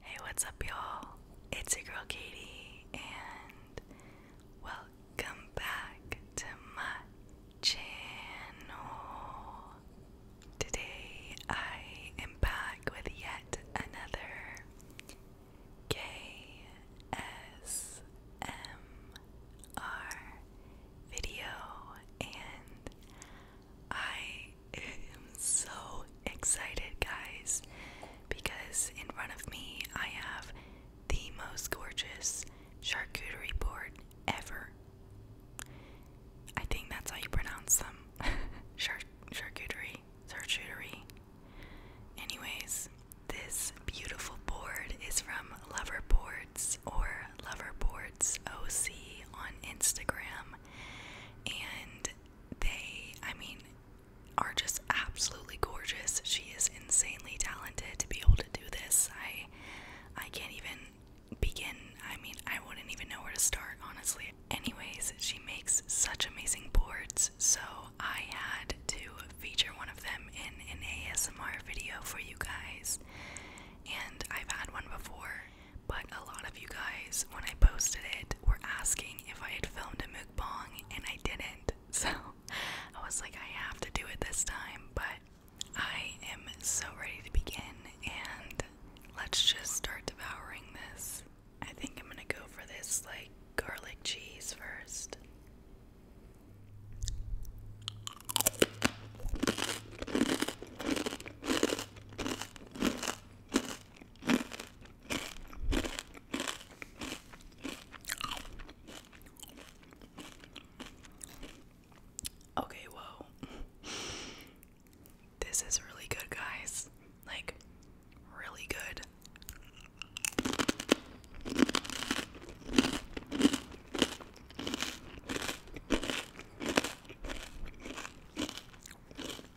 Hey, what's up, y'all? It's your girl Katie, and welcome back to my channel. Today, I am back with yet another KSMR video, and I am so excited, guys, because in front of me I have the most gorgeous charcuterie board ever. I think that's how you pronounce them. Char charcuterie, charcuterie. Anyways, this beautiful board is from Lover Boards or Lover Boards OC on Instagram, and they, I mean, are just absolutely gorgeous. She is insanely talented to be able to do this. I I can't even begin. I mean, I wouldn't even know where to start, honestly. Anyways, she makes such amazing boards, so I had to feature one of them in an ASMR video for you guys. And I've had one before but a lot of you guys, when I posted it, were asking if I had filmed a mukbang, and I didn't. So I was like, I have to do it this time, but I am so ready to begin, and let's just start devouring this. I think I'm gonna go for this, like, garlic cheese first. Okay, whoa. This is really good, guys. Like, really good.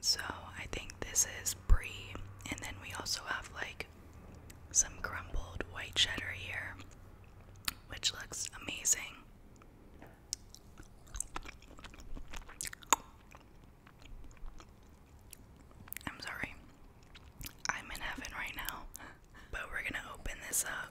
So I think this is brie, and then we also have like some crumbled white cheddar here, which looks amazing. I'm sorry, I'm in heaven right now. but we're gonna open this up.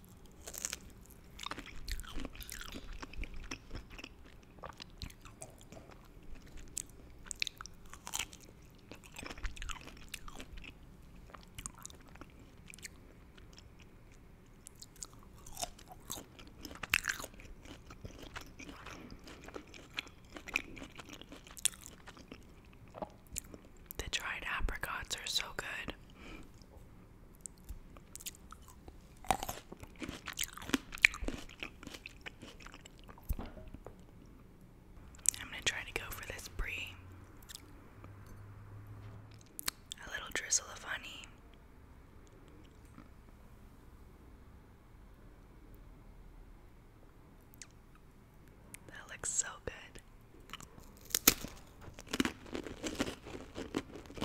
The dried apricots are so good. I'm going to try to go for this brie. A little drizzle of honey. That looks so good.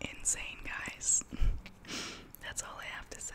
Insane, guys. That's all I have to say.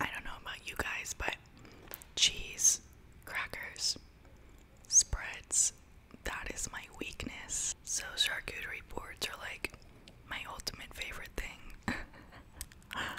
I don't know about you guys, but cheese, crackers, spreads, that is my weakness. So charcuterie boards are like my ultimate favorite thing.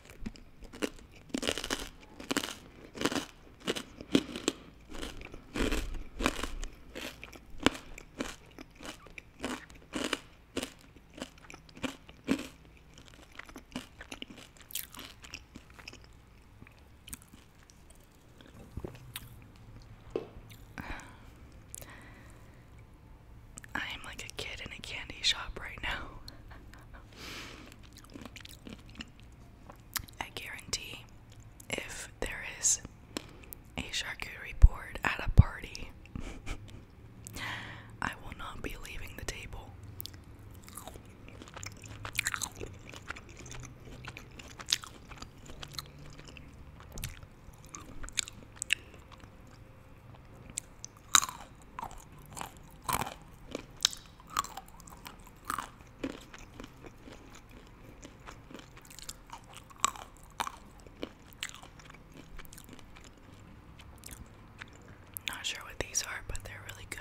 I'm like a kid in a candy shop right now. I guarantee if there is a sharky report at a party, I will not be leaving the table. Not sure what these are, but they're really good.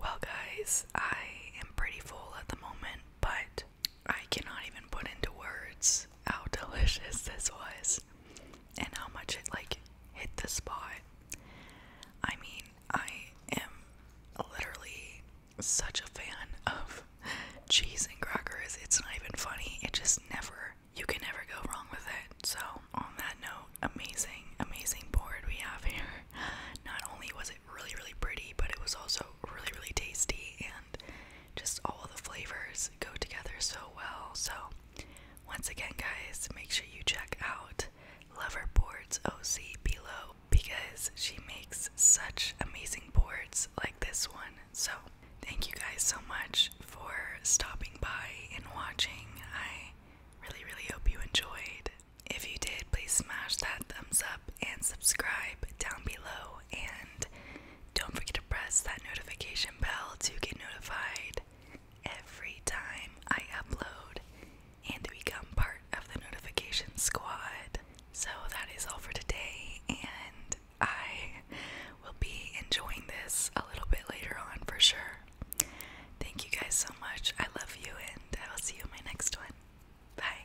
Well, guys, I am pretty full at the moment, but I cannot even put into words how delicious this was and how much it like hit the spot. I mean, I am literally such a fan of cheese and crackers. It's not even funny. It just never, you can never go wrong with it. So, on that note, amazing, amazing board we have here. Not only was it really, really pretty, but it was also really, really tasty and just all the flavors go together so well. So, once again, guys, make sure you check out Lover Boards OC below because she makes such amazing boards like this one. So, thank you guys so much for stopping by and watching. I really, really hope you enjoyed. If you did, please smash that thumbs up and subscribe down below. And don't forget to press that notification bell to get notified every time I upload and become part of the notification squad. So that is all for today, and I will be enjoying this a little bit later on for sure. Thank you guys so much. I love you, and I will see you in my next one. Bye.